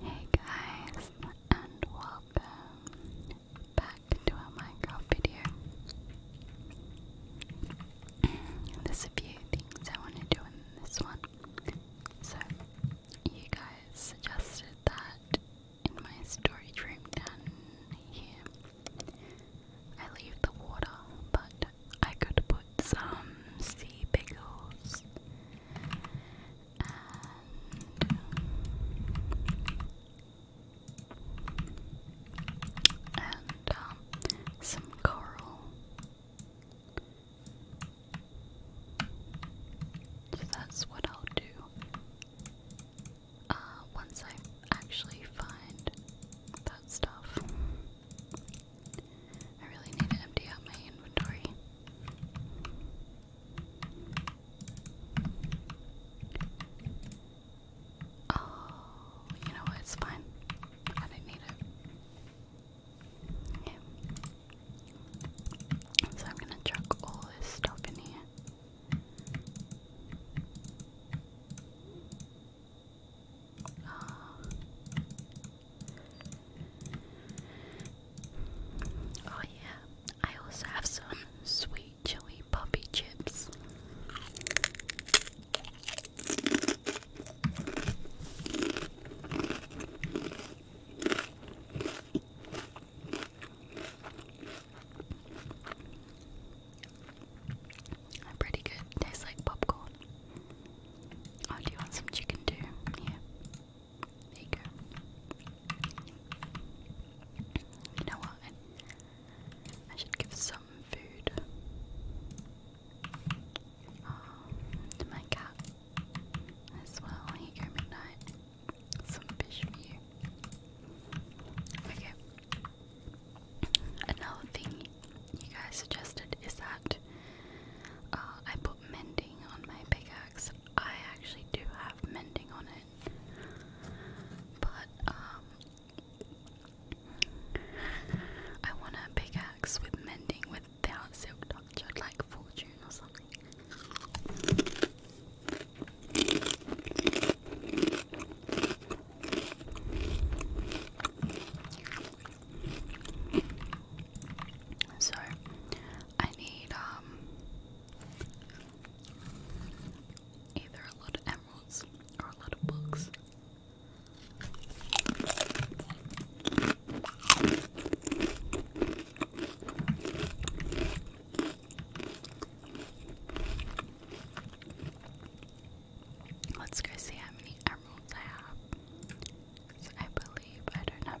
Hey guys, and welcome back to a Minecraft video. There's a few things I want to do in this one. So, you guys suggested that in my storage room down here, I leave the water, but I could put some sea pickles and um, some coral. So that's what I'll do. Uh, once I actually find that stuff, I really need to empty out my inventory. Oh, you know what? It's fine. I didn't need it. Okay. So I'm gonna chuck all this stuff in here. Ah. Oh, yeah, I also have some sweet chili poppy chips. pretty good. Tastes like popcorn. Oh, do you want some chicken too? Yeah you know what? I, should give some food oh, to my cat as well. Here Midnight. Some fish for you. Okay. Another thing you guys suggested is that uh, I put mending on my bigger I actually do have mending on it, but um, I want a pickaxe with mending without silk touch. like fortune or something. So I need um either a lot of emeralds or a lot of books. Let's go see how many emeralds I have. I believe I don't have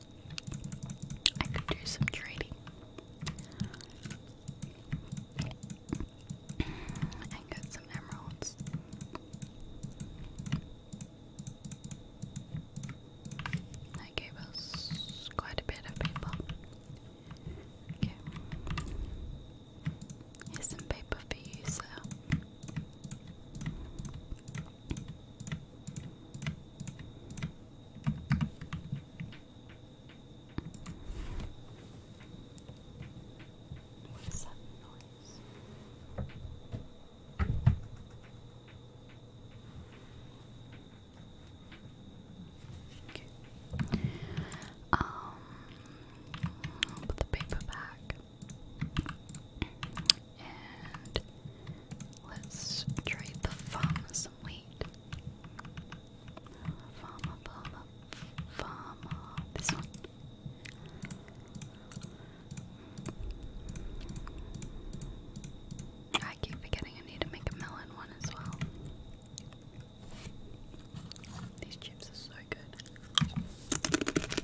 I could do some trading. I got some emeralds. That gave us quite a bit of paper. Okay. Here's some paper for you, sir. What is that noise? Um, put the paper back and let's trade the farm some wheat. Farmer, farmer, farmer. This one. I keep forgetting I need to make a melon one as well. These chips are so good.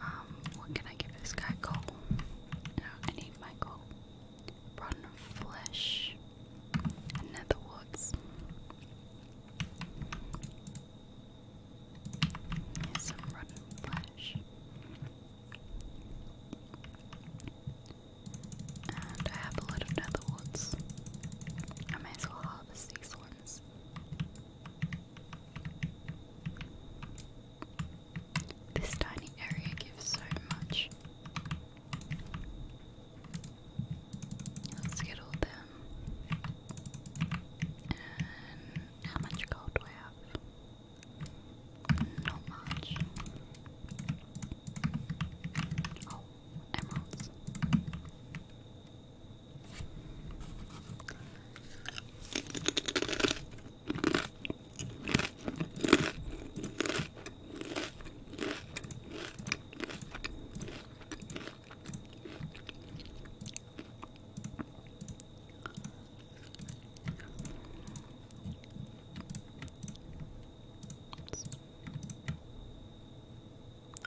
Um, what can I give this guy? Coal. No, I need my coal. Rotten flesh. And nether woods. Here's flesh. And I have a lot of nether woods. I may as well harvest these ones. This tiny area gives so much. Let's get all them. And how much gold do I have? Not much. Oh, emeralds.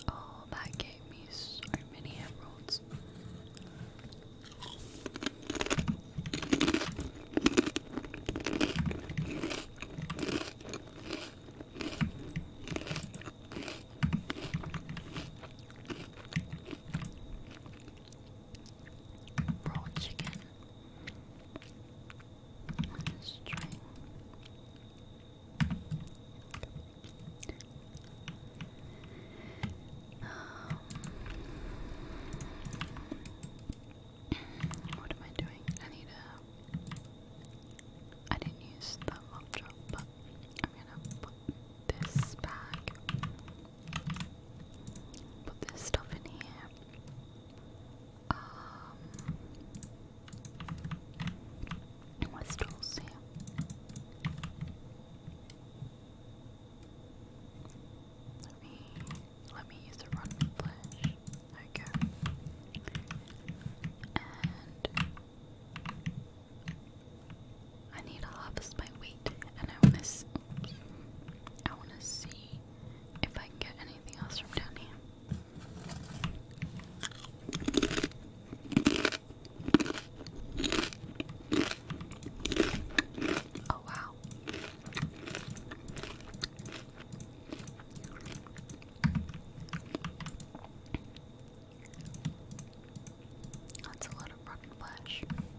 Oh, that gave me so many emeralds raw chicken string. Um, what am I doing? I need a. I didn't use the mop drop, but I'm gonna put this back. Put this stuff in here. Um, my stools here. Let me let me use a run with flash. There we go. And I need to harvest my wheat first, and I want to. I want to see if I can get anything else from down here. Oh wow. That's a lot of rock flesh.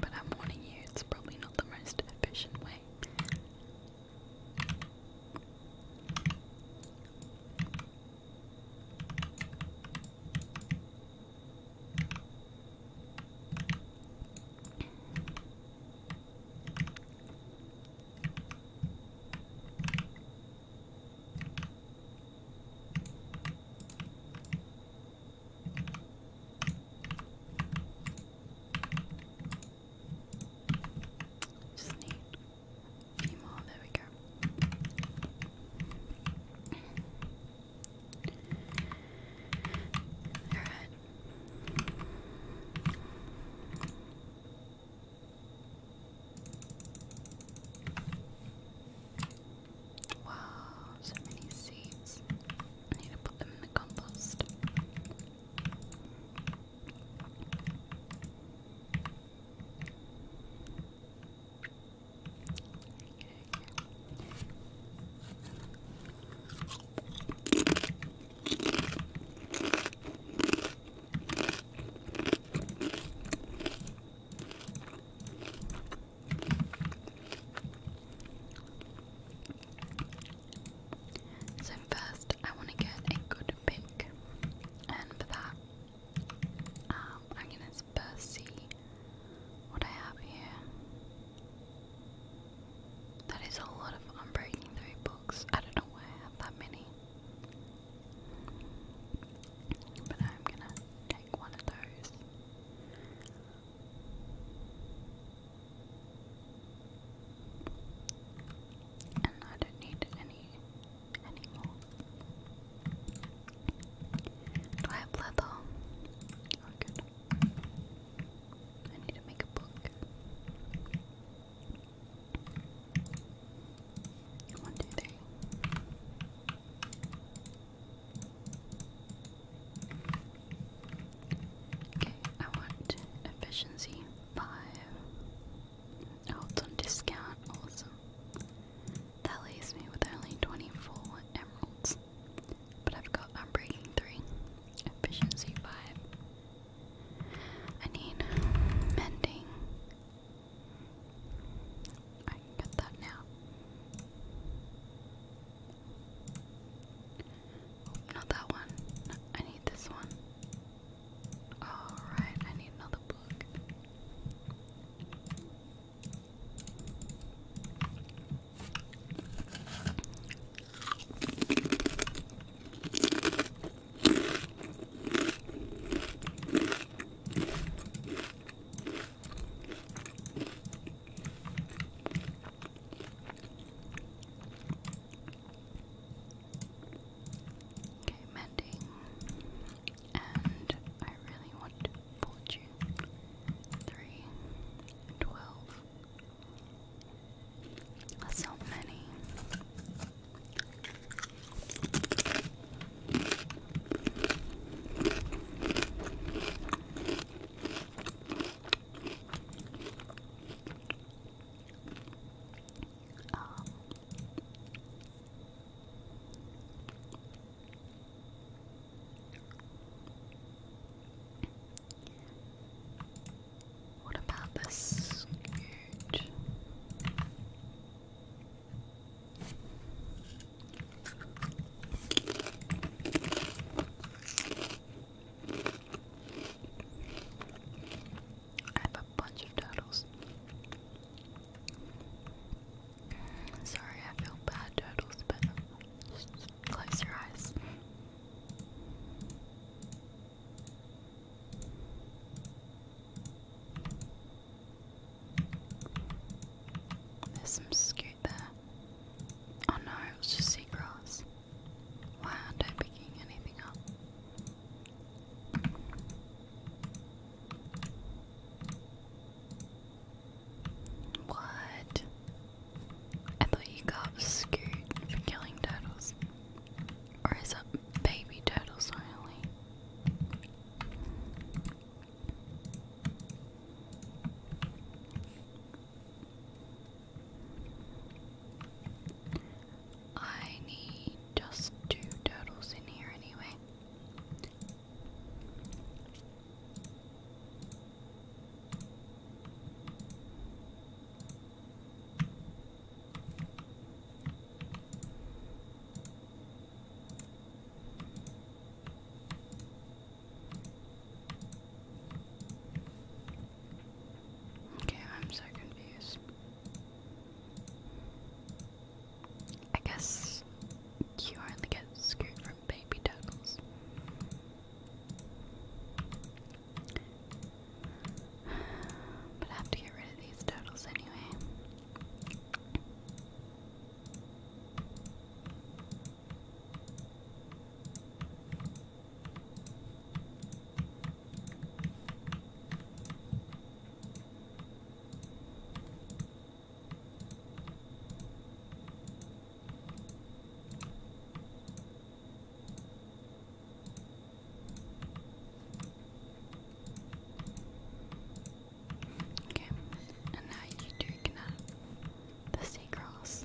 But I'm warning you, it's probably not the most efficient way. Just need a there we go. Alright. Wow, so many seeds. need to put them in the compost. So, first, I want to get a good pick, and for that, um, I'm going to first see what I have here. That is a lot of unbreaking three books. I don't know why I have that many. But I'm gonna take one of those. And I don't need any anymore. Do I have leather? Oh good. I need to make a book. One, two, three. Okay, I want efficiency five. Oh, on discount, awesome. That leaves me with only 24 emeralds. But I've got, i three. Efficiency five. I need mending. I can that now. Oh, not that one. I need this one. Alright, I need another book. Okay, mending. And I really want fortune. Three, twelve, so many. Um, what about this I have a bunch of turtles. Sorry, I feel bad, turtles, but close your eyes. There's some scoot there. Oh no, it was just seagrass. Why aren't I picking anything up? What? I thought you got scoot for killing turtles. Or is it baby turtles only? I need just two turtles in here anyway. Okay, I'm so confused. I guess you only get screwed from baby turtles. But I have to get rid of these turtles anyway. Okay, and now you two can the sea cross.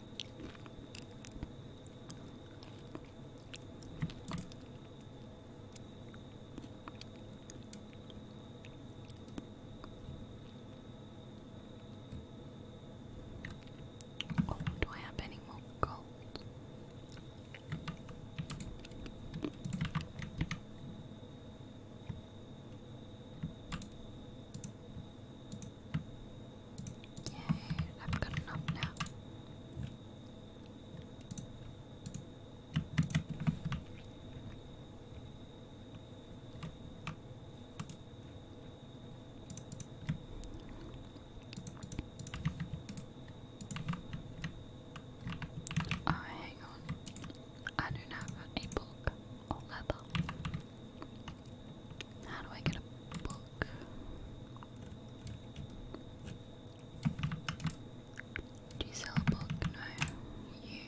Oh, do I have any more gold? Yeah, I've got enough now. Oh, hang on. I don't have a book or leather. How do I get a book? Do you sell a book? No. You.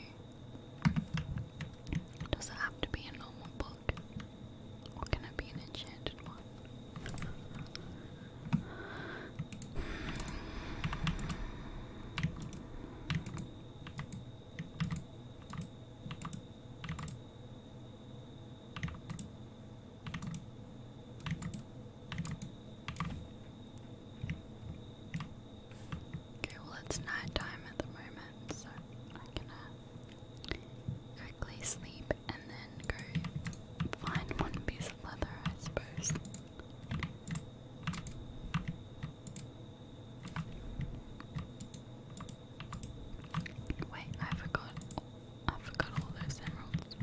Does it have to be a normal book? Or can it be an enchanted one? Okay, well, it's night time at the moment, so I'm gonna quickly sleep and then go find one piece of leather, I suppose. Wait, I forgot. I forgot all those emeralds.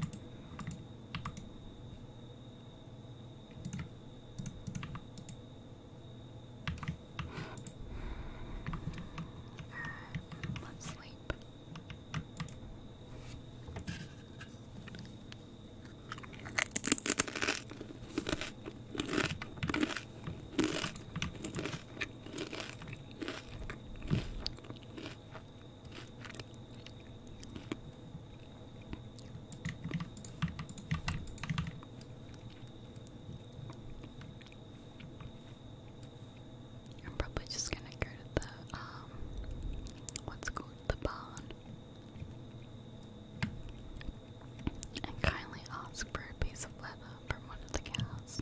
Uh, let's sleep. I'm probably just gonna go to the um what's called the barn and kindly ask for a piece of leather from one of the cows.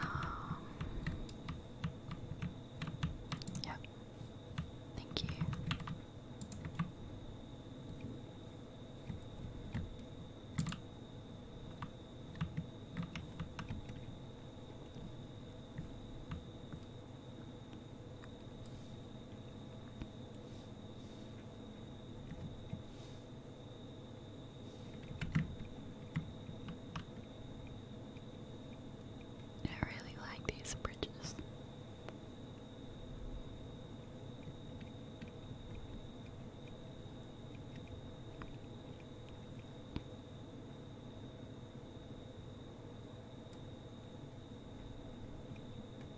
Um, yep. Thank you. I really like these bridges.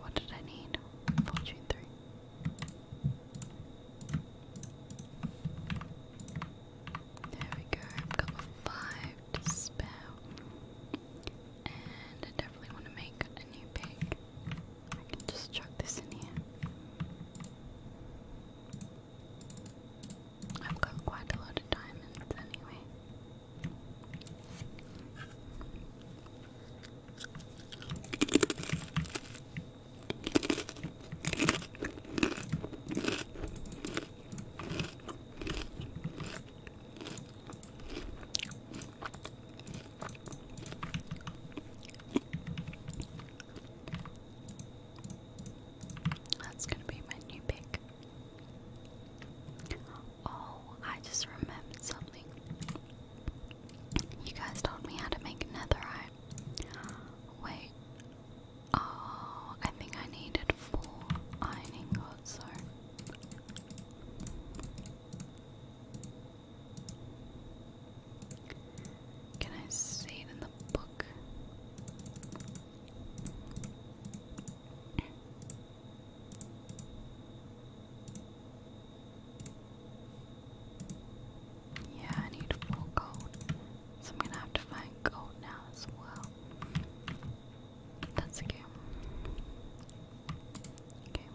What did I need? Fortune three. There we go. I've got five to spare. And I definitely want to make a new pig. I can just chuck this in here. I've got quite a lot of diamonds anyway. That's going to be my new pick. Oh, I just remembered something. You guys told me how to make netherite. Wait. Oh, I think I needed four iron ingots, so. Can I see it in the book? Yeah, I need full gold. So I'm gonna have to find gold now as well. That's okay. Okay.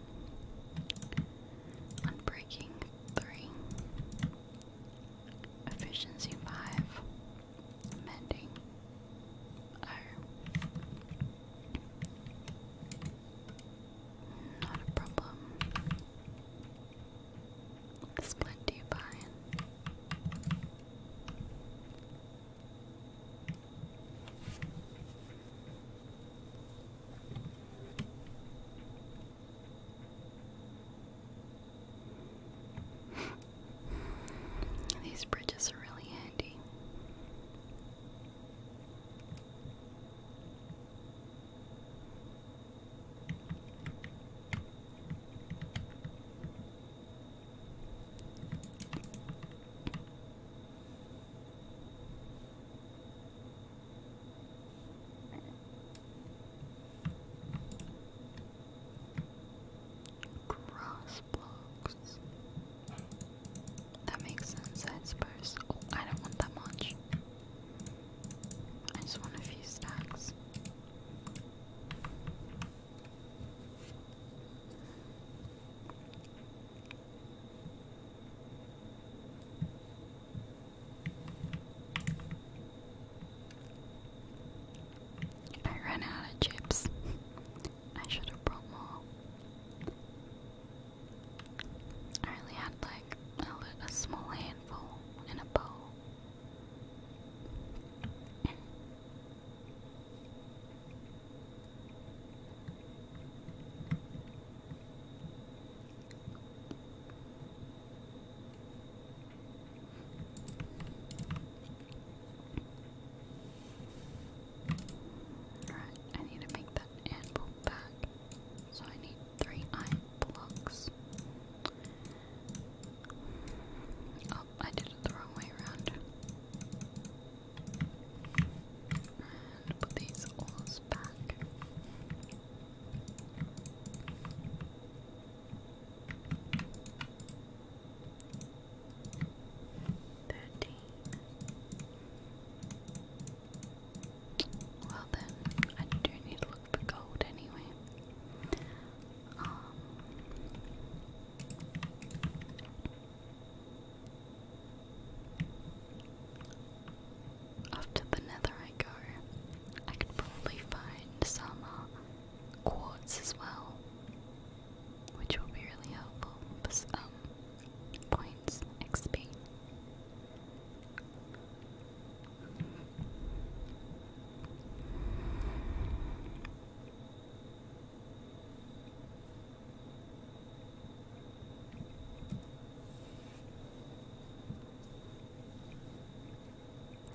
Unbreaking three. Efficiency five mending are oh. not a problem. Split you these bridges are really handy. Cross blocks. That makes sense, I suppose. Oh, I don't want that much. I just want a few stacks. I ran out of chips. I should have brought more. I only had like a, small handful in a bowl. Alright, I need to make that anvil back. So I need three iron blocks. Oh, I did it the wrong way around. And put these oars back. Thirteen. Well then, I do need to look for gold anyway. Um, after the nether I go, I could probably find some uh, quartz as well, which will be really helpful um, points XP.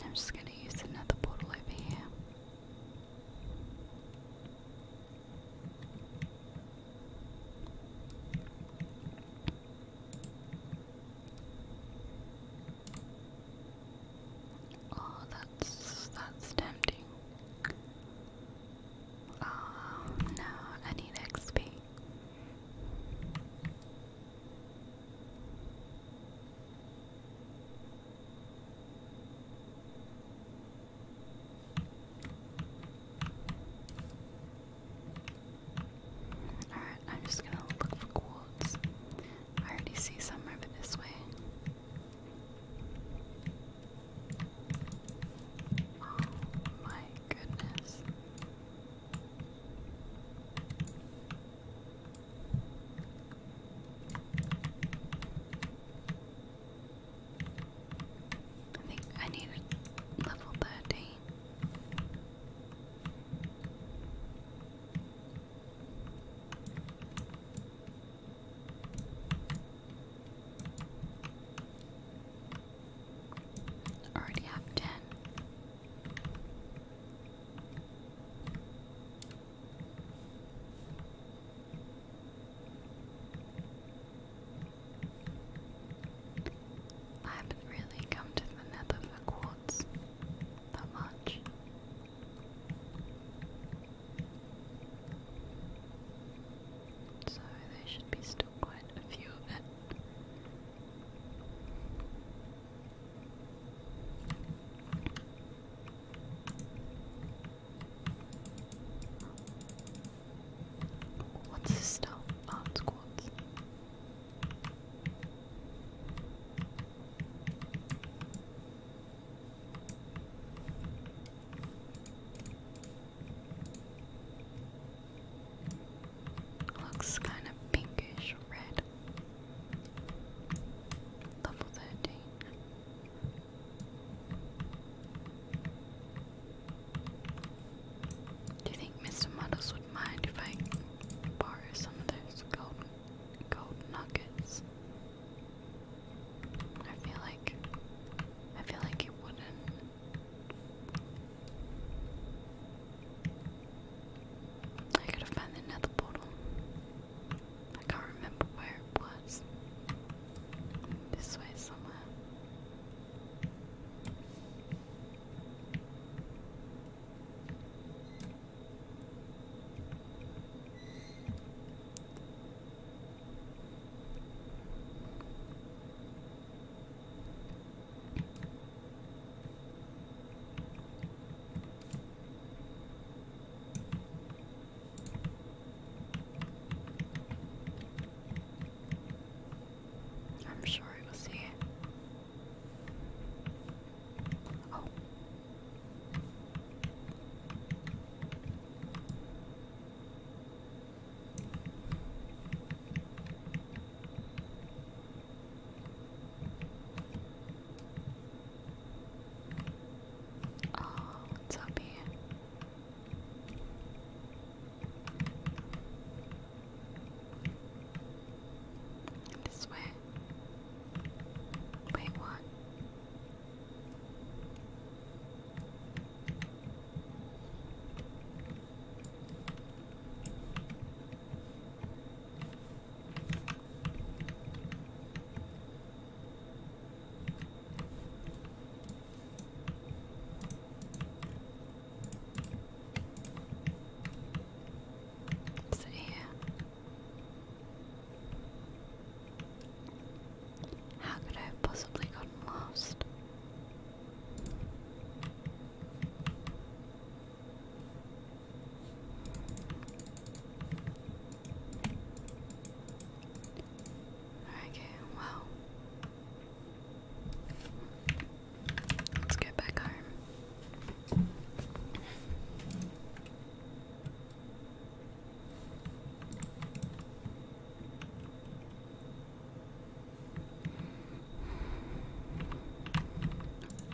I'm just going to use another portal over here. Oh, that's that's tempting. Oh no, I need XP. Alright, I'm just gonna look for quartz. I already see some over this way. Oh my goodness. I think I need level 13. already have ten. I haven't really come to the nether for quartz that much. So there should be still quite a few of it. What's this stuff? Arm ah, squats. Looks kind of pinkish red. Level 13. Do you think Mr. Muddles would mind if I borrow some of those golden gold nuggets? I feel like I feel like it wouldn't. I could have found another portal. I can't remember where it was. This way somewhere. I'm sure we will see. Oh. Oh, what's This way. Wait, what? Sit here. How could I have possibly gotten lost? Okay, well. Let's go back home.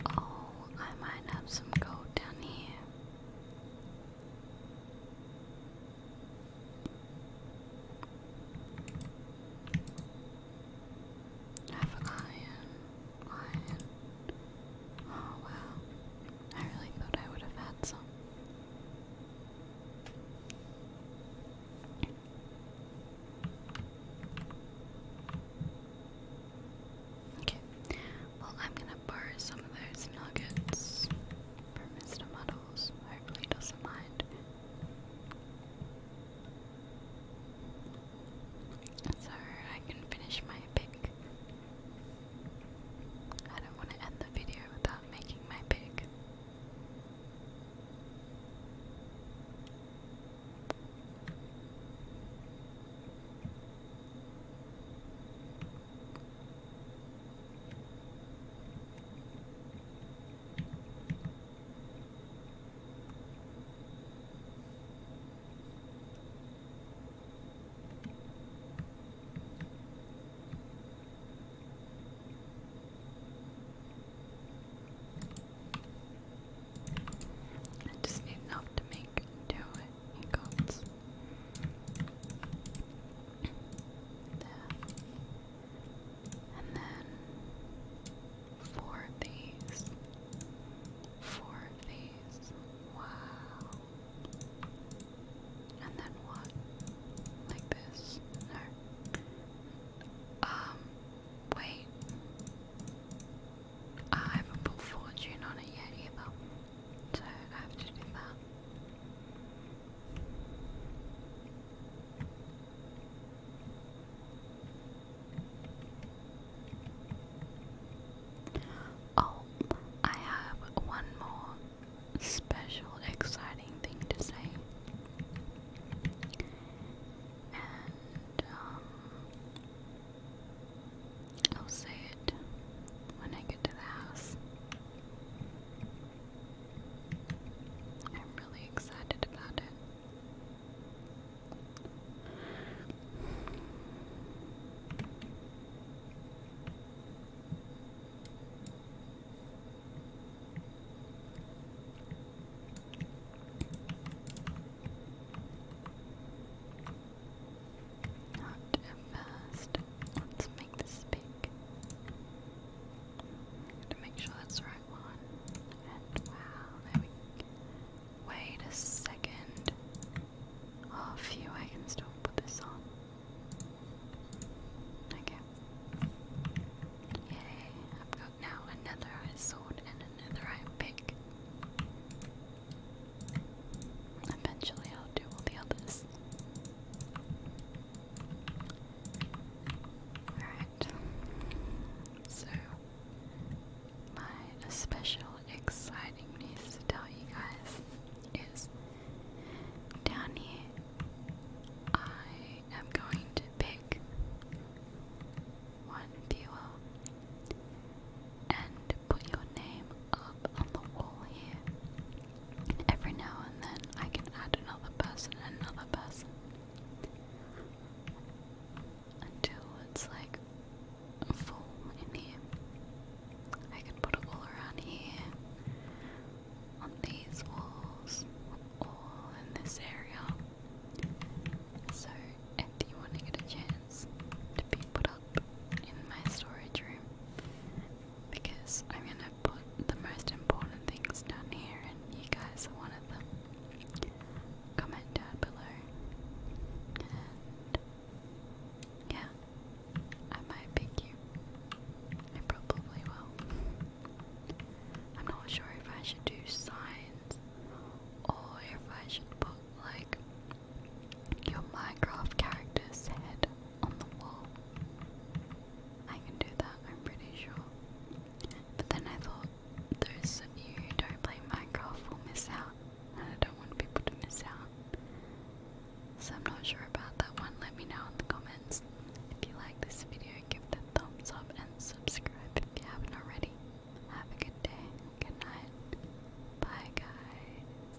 Oh, I might have some gold down here. Have iron, iron. Oh wow. I really thought I would have had some. Okay, well, I'm gonna borrow some of those nuggets from Mr. Muddles. Hopefully, doesn't mind. So I can finish my pick. I don't want to end the video without making my pick. I just need enough to make do it ingots. There. And then four of these. Four of these. Wow. And then what? Like this? No. Um, wait. I haven't put fortune on it yet either. So I have to do that. Oh, I have one more special, exciting thing to say. And, um, I'll say it when I get to the house. I'm really excited about it. Not fast. Let's make this big. To make sure that's the right one. And wow, Wait a second. Oh, phew, I can still put this on. Okay. Yay, I've got now another sword and another iron pick. Eventually I'll do all the others. Alright, so my special exciting news to tell you guys is down here I am going to pick one viewer and put your name up on the wall here. Every now and then I can add another person, another person. Until it's like full in here. I can put it all around here, on these walls, all in this area. So if you want to get a chance to be put up in my storage room, because I'm gonna put the most important things down here, and you guys are one of them. Comment down below, yeah, I might pick you. I probably will. I'm not sure if I should do signs or if I should put like your Minecraft character's head on the wall. I can do that, I'm pretty sure. But then I thought those of you who don't play Minecraft will miss out, and I don't want people to miss out. So I'm not sure about that one. Let me know in the comments. If you like this video, give it a thumbs up and subscribe if you haven't already. Have a good day, good night. Bye guys.